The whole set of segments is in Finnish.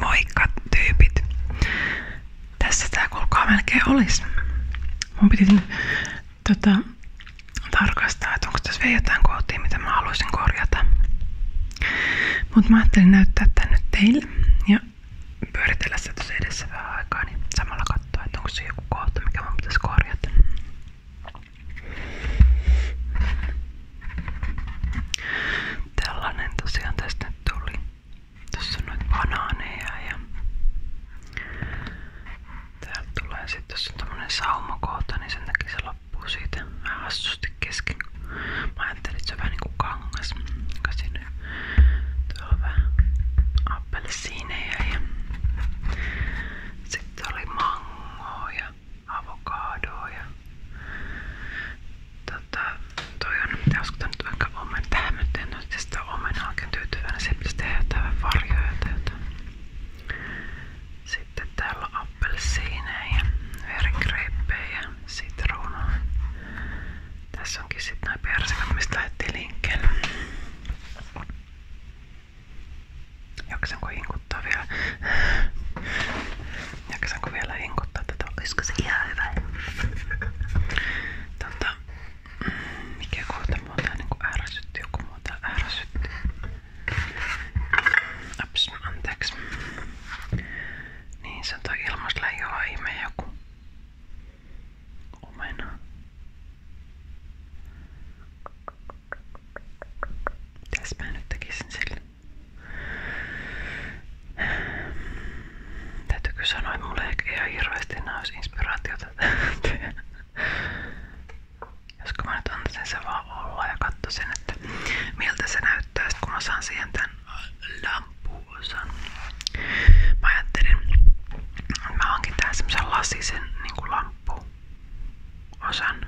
Moikka tyypit! Tässä tää kulkaa melkein olis. Mun piti tota, tarkastaa, että onko tässä vielä jotain kotiin, mitä mä haluaisin korjata. Mut mä ajattelin näyttää tän nyt teille ja pyöritellä tuossa edessä vähän niin samalla katsoa, onko se joku kohta, mikä mun pitäisi korjata. Tällainen tosiaan tästä tuli. Tuossa on noita banaaneja ja Täältä tulee sitten, jos on tommonen saumakohta, niin sen takia se loppuu siitä vähän hassusti kesken. Mä ajattelin, että se on vähän niinku kangas. Joka sinne tuolla on vähän appelsiineja ja sitten oli mangoa ja avokadoa ja tota, toi on, olisiko nyt vaikka omena, tähän nyt en ole no, sitä siis Sitten täällä on appelsiineja, verikreippejä Tässä onkin sitten nämä persikat, mistä lähdettiin liikkeelle. Joksen hinkuttaa vielä. Jaksanko vielä hinkuttaa tätä? Olisiko se ihan hyvä? Tota, mm, mikä kohta mua niinku ärsytti? Joku mua ärsytti. Ops, Niin se on toi omena. Mitäs mä nyt sille? Täytyykö sanoa, että ei ihan hirveästi enää olisi inspiraatiota tehdä. Josko mä nyt sen vaan olla ja katsoisin, että miltä se näyttää, sit kun mä saan siihen tän Mä ajattelin, mä hankin tähän semmosen lasisen niin lamppuosan.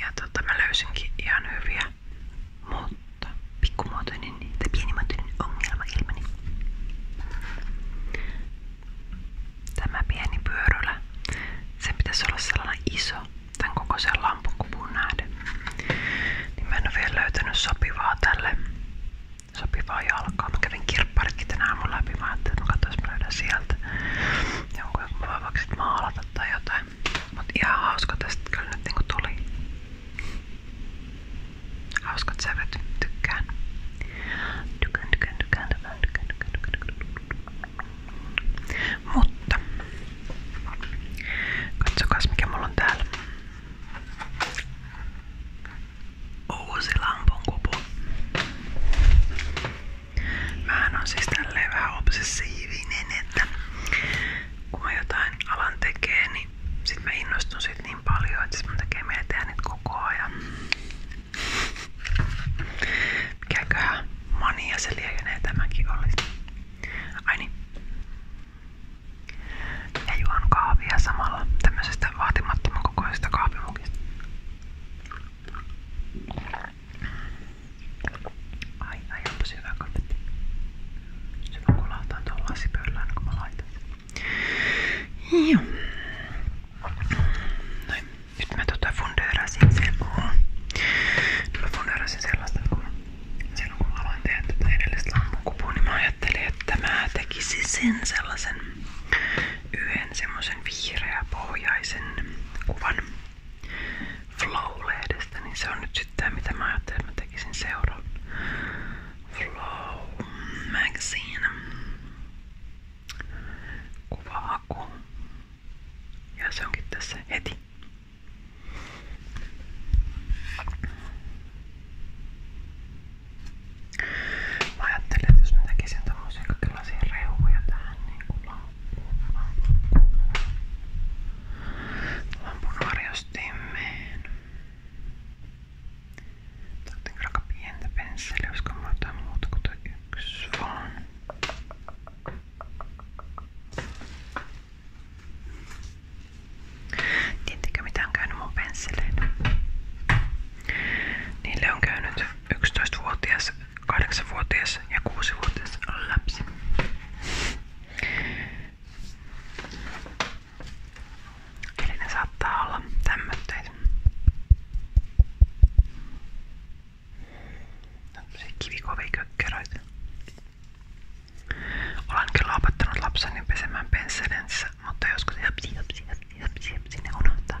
Ja tota, mä löysinkin ihan hyviä, mutta pikkumuotoinen tai pienimuotoinen ongelma ilmeni. Tämä pieni pyörylä, sen pitäisi olla sellainen iso, tämän kokoisen lampukupun Niin mä vielä löytänyt sopivaa tälle sopivaa jalkaa. Mä kävin kirpparitkin tänä aamulla läpi. Mä ajattelin, että mä sieltä jonkun, jonka mä voin maalata tai jotain. Mut ihan hauska tästä kyllä nyt niinku tuli. Hauskat sävet, tykkään. Tykän, tykän, tykän, tykän, tykän, tykän, tykän, tykän. Mutta katsokaas mikä mulla on täällä. Uusi lampun kupu. Mähän on siis tälleen obsessiivinen, niin, että kun jotain alan tekee, niin sit mä innostun niin paljon, että sit mun niitä koko ajan. Mikäköhän mania se liekenee olisi. Ai niin. Ja juon kahvia samalla tämmöisestä vaatimattoman kokoisesta kahvimukista. Ai, ai onpas hyvä Joo. Nyt mä tota fundeerasin sen. Mä fundeerasin sellaista, kun silloin kun aloin niin mä ajattelin, että mä tekisin sen sellaisen yhden semmosen vihreäpohjaisen kuvan. Flow-lehdestä, niin se on nyt sitten tämä, mitä mä ajattelin, että mä tekisin seuraavan. Flow Magazine. Kuvahaku. Ja se onkin tässä heti. Mä ajattelin, että jos mä tekisin tommosia kaikenlaisia reuvoja tähän niin kuin lampun varjostimeen. Otin aika pientä pensseliä, koska mä otan muuta kuin toi yksi vaan. Niille on käynyt 11-vuotias, 8-vuotias ja 6-vuotias lapsi. Eli ne saattaa olla tämmötteitä. Tämmöisiä kivikovia kökkeroita. Olenkin lopettanut lapseni pesemään pensselinsä, mutta joskus japsi japsi japsi japsi, japsi ne unohtaa.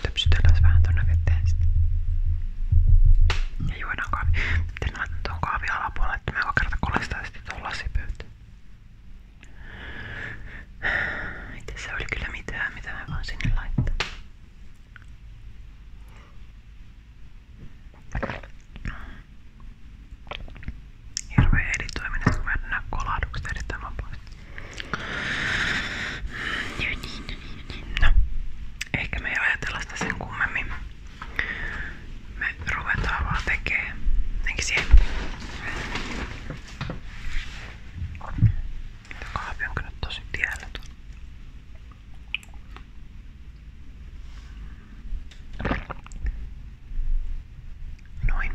töpsytellään vähän tuonne veteen sitten. Ja juodaan kahvi. Miten laitan tuon kahvin alapuolelle, että mä en voi kerta kolesta ja sitten tuon lasipöytä. Itse se oli kyllä mitään, mitä mä vaan sinne laittaa. Hirveä editoiminen, kun mä en näe kolahduksesta editoimaan pois. No niin. No, ehkä me ei ajatella sitä sen kummemmin. Me ruvetaan vaan tekemään. Eikö siihen? Kahvi on kyllä tosi tiellä tuolla. Noin.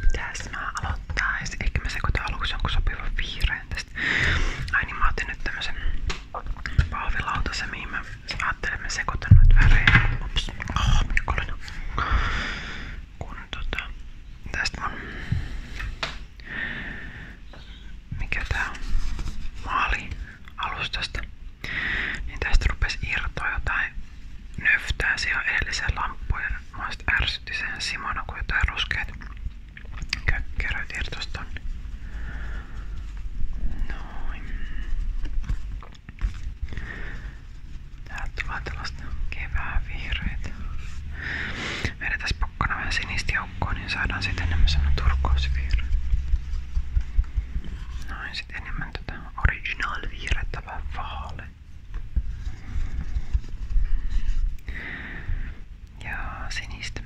Mitäs mä aloittais? jonkun sopivan viireen tästä. Ai niin mä otin nyt tämmösen pahvilautasen, mihin Ups, oh, ah, minä Kun tota, tästä mun... Mikä tää on? Maali niin tästä rupes irtoa jotain nöftää siihen edellisen lamppuun ja Mä sit Simona, kun jotain ruskeet kökkeröt irtos tonne. Noin. Täällä tulee tällaista kevää vihreitä. Vedetään pokkana vähän sinistä joukkoa, niin saadaan sit enemmän tätä tota original vihreätä vähän ja sinistä.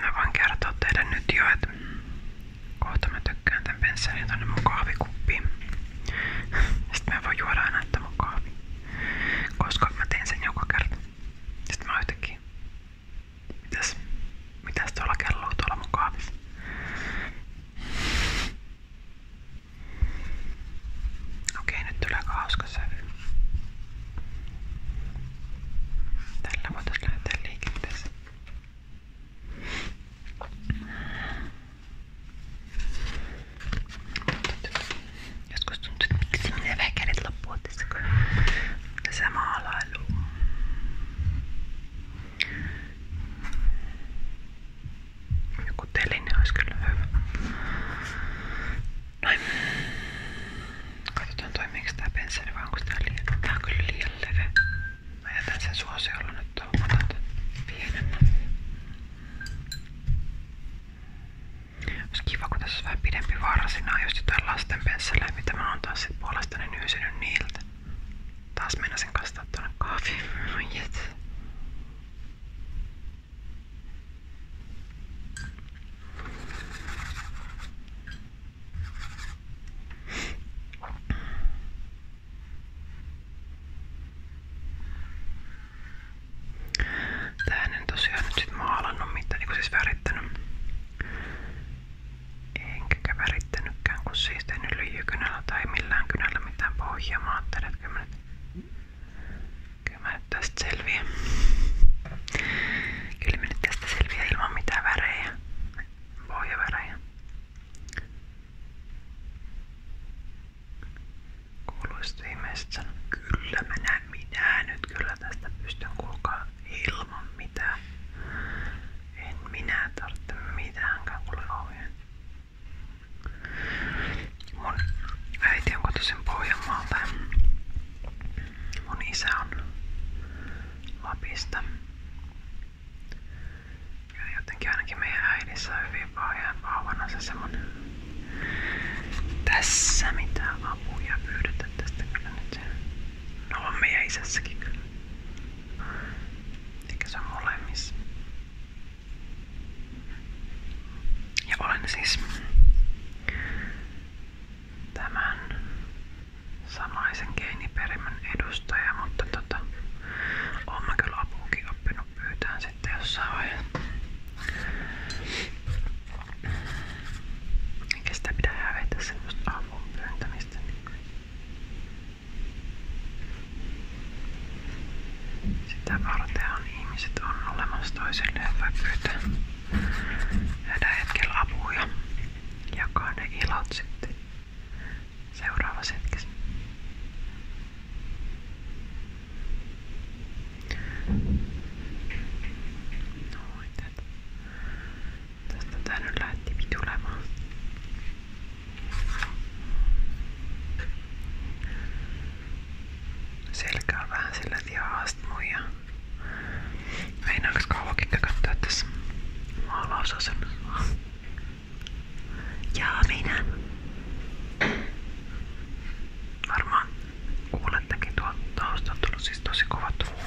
Mä voin kertoa teille nyt jo, että kohta mä tykkään tämän pensselin tonne mun kahvikuppiin. Sitten mä voin juoda aina, että mun kahvi. Koska mä teen sen joka kerta. Sitten mä yhtäkkiä Mitäs, mitäs tuolla kelloo tuolla mun kahvissa? Okei, nyt tulee aika hauska sävy. Tällä voitais lähteä liikenteeseen. Joskus tuntuu, että miksi mun jävää kädet loppuu tässä, kun tässä maalailu. Joku teline olisi kyllä Katsotaan toimiiko tää pensseli vai onko tää liian... Tää on kyllä nyt tuohon. Mä otan pienemmän. kiva kun tässä on vähän pidempi varsi. Nää jotain lasten pensselejä, mitä mä oon taas sit puolestani nyysinyt niiltä. Taas menisin kastaa tuonne kahviin. Tähän en tosiaan nyt sit maalannut mitään, eiku niinku siis värittänyt enkä värittänytkään, kun siis tehnyt lyijykynällä tai millään kynällä mitään pohjaa. Mä ajattelin, että kyllä mä nyt, kyllä mä nyt tästä selviä. Kyllä mä nyt tästä selviä ilman mitään värejä, pohjavärejä. Kuuluisi viimeiset sanoa, kyllä minä, minä nyt kyllä tästä pystyn kulkaa ilman mitään en minä tarvitse mitään kakuleohjeita. Mun äiti on kotoisin Pohjanmaalta ja mun on Lapista. jotenkin ainakin meidän äidissä on hyvin vahvana se tässä mitään apuja pyydetään tästä kyllä No on meidän isässäkin kyllä. Eikä se on molemmissa. Ja olen siis tämän samaisen geeniperimän edustaja, mutta tota, oon mä kyllä apuukin oppinut pyytään sitten jossain vaiheessa. Eikä sitä pidä hävetä semmoista avun pyyntämistä. Sitä vartenhan ihmiset on olemassa toisilleen hyvä pyytää nähdä hetkellä apua ja jakaa ne ilot sitten seuraavassa hetkessä. Noin, Tästä tää nyt lähti tulemaan. Selkä on vähän sillä tiellä astmuja. Meinaanko kauhokikka katsoa tässä maalausosan? Jaa, minä. Varmaan kuulettekin tuo tausta on tullut siis tosi kova tuuli.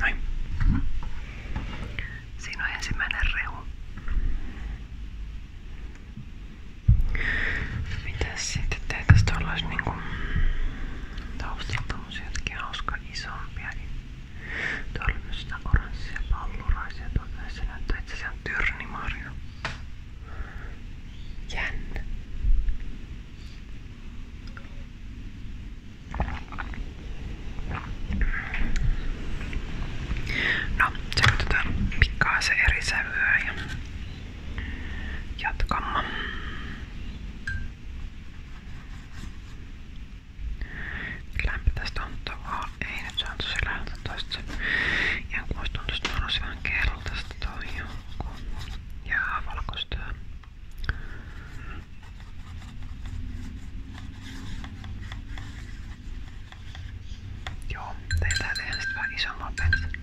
Noin. Siinä on ensimmäinen rehu. Mitäs sitten tehtäis tollas niinku taustalta on sieltäkin hauska isompia, niin tuolla on myös sitä oranssia palluraisia, tuolla näissä näyttää itse asiassa tyrnimarjo. Jännä. No, se otetaan pikkaisen eri sävyä ja jatkamaan. Lämpi tästä on tavaa. Ei nyt se on tosi läheltä toista. Ihan kuin olisi tuntuisi, että on vähän keltaista toi joku. Ja valkoista. Joo, tehdään tehdä sitten vähän isommalla pensselillä.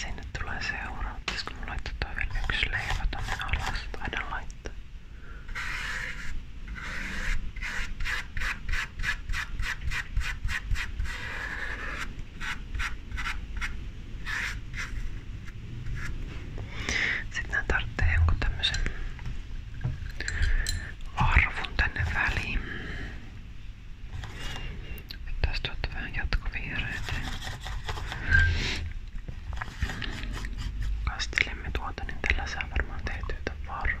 Sinne tulee seura. Pitäisikö mun laittaa toi vielä yksi leivä tonne alas? Taidan laittaa. Sitten nää tarvitsee jonkun tämmösen arvon tänne väliin. Tästä ottaa vähän jatkovihreitä. Kastelemme tuota, niin tällä saa varmaan tehtyä tämän varvon.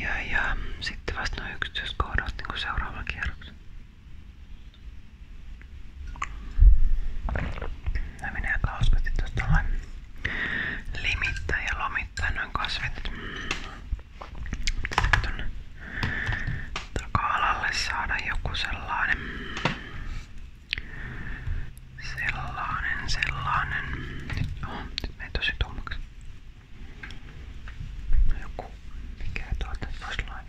Ja, ja sitten vasta noin yksityiskohdat niin seuraavalla kierroksella. Nämä menee aika hauskasti tuosta limittää ja lomittaa noin kasvit. Pitääkö tonne taka-alalle saada joku sellainen sellainen, sellainen. Oho, nyt menee tosi tummaksi. No joku, mikä tuolta toslain.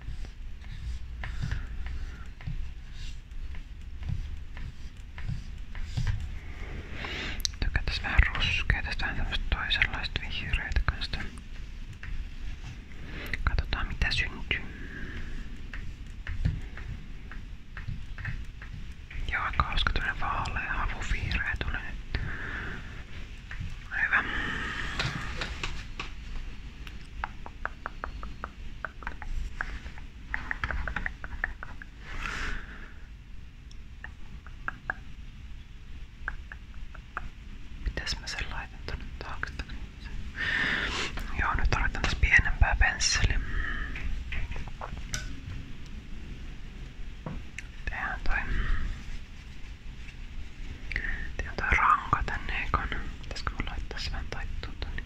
Tykkään tässä vähän ruskea, tästä vähän tämmöset toisenlaista vihreitä kanssa. Katsotaan mitä syntyy. Joo, aika hauska tämmönen vaalea havuviireä tulee nyt. Hyvä. Mitäs mä sen laitan tonne taakse? Joo, nyt tarvitaan taas pienempää pensseliä. Tehdään toi. Tää on toi ranka tänne ekana. Pitäisikö mun laittaa se vähän taittua tonne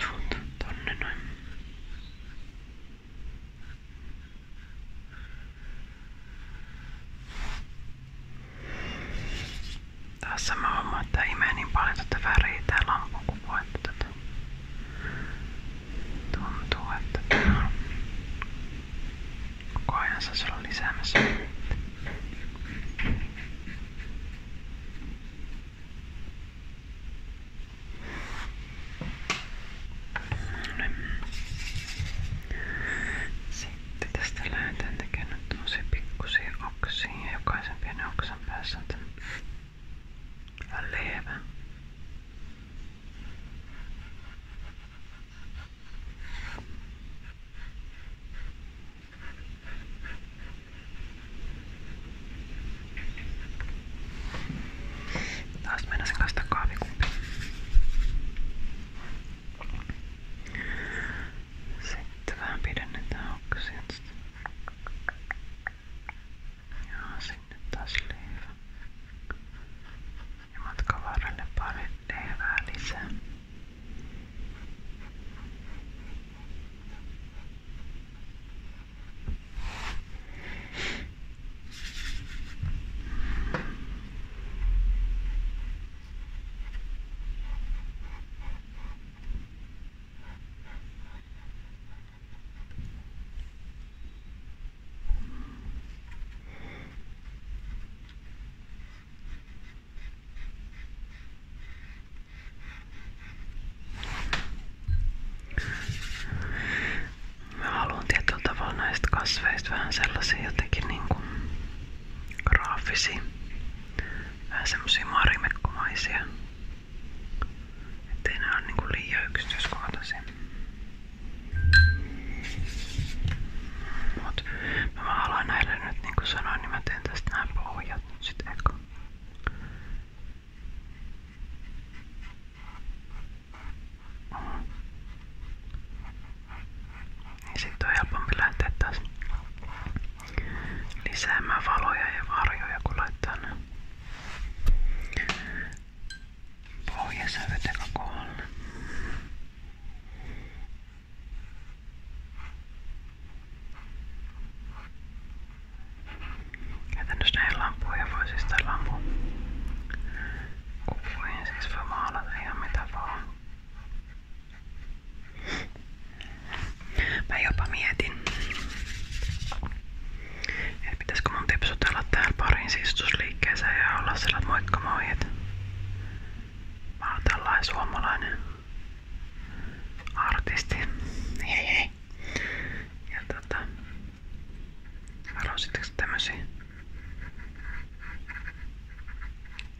suuntaan? Tonne noin. Tää on sama homma, että imee niin paljon tätä väriä tää lampu, kun voin tätä tuntuu, että tämä on koko ajan saisi olla lisäämässä. Sitten tästä lähdetään tekemään tommosia pikkusia oksia ja jokaisen pienen oksan päässä on leivä. Taas mennä sellaista kahvikuppi. Sitten vähän pidennetään oksia. Ja sinne taas leivä ja niin matkan varrelle pari leivää lisää. Mä haluan tietyllä tavalla näistä kasveista vähän sellaisia jotenkin niinku graafisia, vähän semmosia marimekkomaisia, ettei nää ole niinku liian yksityiskohtaisia. Mut mä vaan aloin näille nyt niinku sanoin, niin mä teen tästä nää pohjat nyt sit eka. Mm. Niin sit on helpompi lähteä taas lisäämään valoja ja varjoja kun laittaa ne pohjasävyt eka kohdalle. Käytännössä näihin lampuihin voi siis tämän lampun kuppuihin siis voi maalata ihan mitä vaan. Mä jopa mietin, että pitäisikö mun tipsutella täällä parin sisustusliikkeeseen ja olla sillä, että moikka moi, että mä oon tällainen suomalainen artisti. Hei hei. Ja tota, varositteko tämmösiä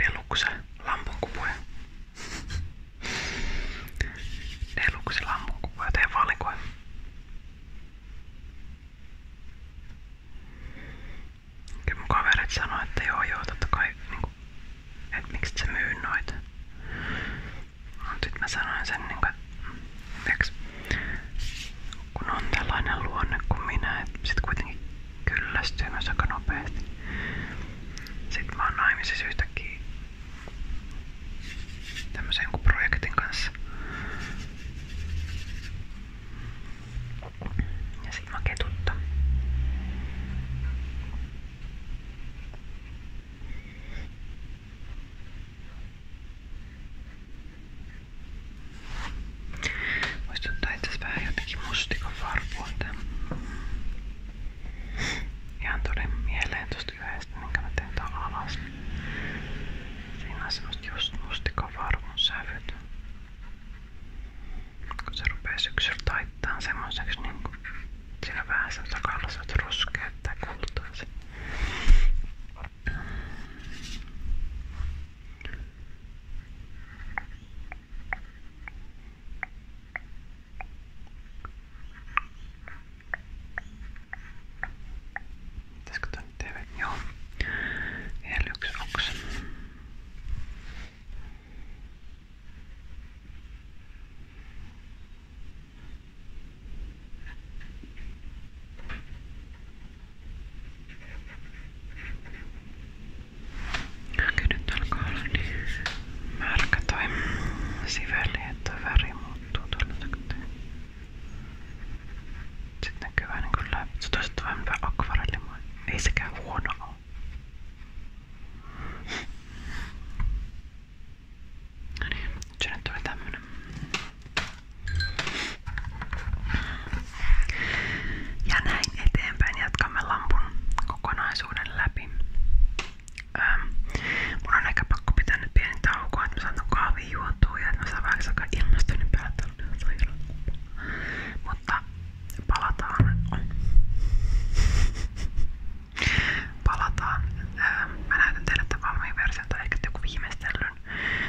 deluxe lampunkupuja? deluxe lampunkupuja teidän valikoja. Kyllä mun kaverit sanoi, että joo joo, totta kai, niinku, että miksi sä myy noita. Mutta sitten mä sanoin sen, niinku, että kun on tällainen luonne kuin minä, että sit kuitenkin kyllästyy myös aika nopeasti. Sitten mä oon naimisissa yhtäkkiä tämmöisen jonkun projektin kanssa. Ja sit maketutta. Muistuttaa itse asiassa vähän jotenkin mustikon varpuolta. Ihan tuli mieleen tosta yhdestä, minkä mä tein tuon alas. Siinä on semmoset just mustikan varvun sävyt. Kun se rupee syksyllä taittaa semmoiseksi niin kun siinä vähän sieltä kalsat ruskeat tai kultaiset. Mitäskö tää nyt tehdä? Joo. Vielä yksi oksa. Okei, nyt alkaa olla niin märkä toi sivelli, että väri muuttuu tuolla takaisin. Sitten näkyy vähän niin läpi. Se toisaalta vähän hyvä akvarellimainen. Ei sekään huono ole. No niin, nyt tuli tämmönen. Ja näin eteenpäin jatkamme lampun kokonaisuuden läpi. Öö, mun on aika pakko pitää nyt pieni taukoa, että mä saan kahvi juotua ja että mä saan vähän aikaa ilmastoa, niin päättänyt, että on ihan Mutta palataan. Palataan. Mä näytän teille tämän valmiin version tai ehkä joku viimeistellyn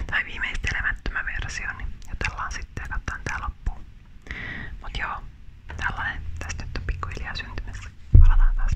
tai viimeistelemättömän versio, niin jutellaan sitten ja katsotaan tää loppuun. Mut joo, tällainen. Tästä nyt on pikkuhiljaa syntymässä. Palataan taas.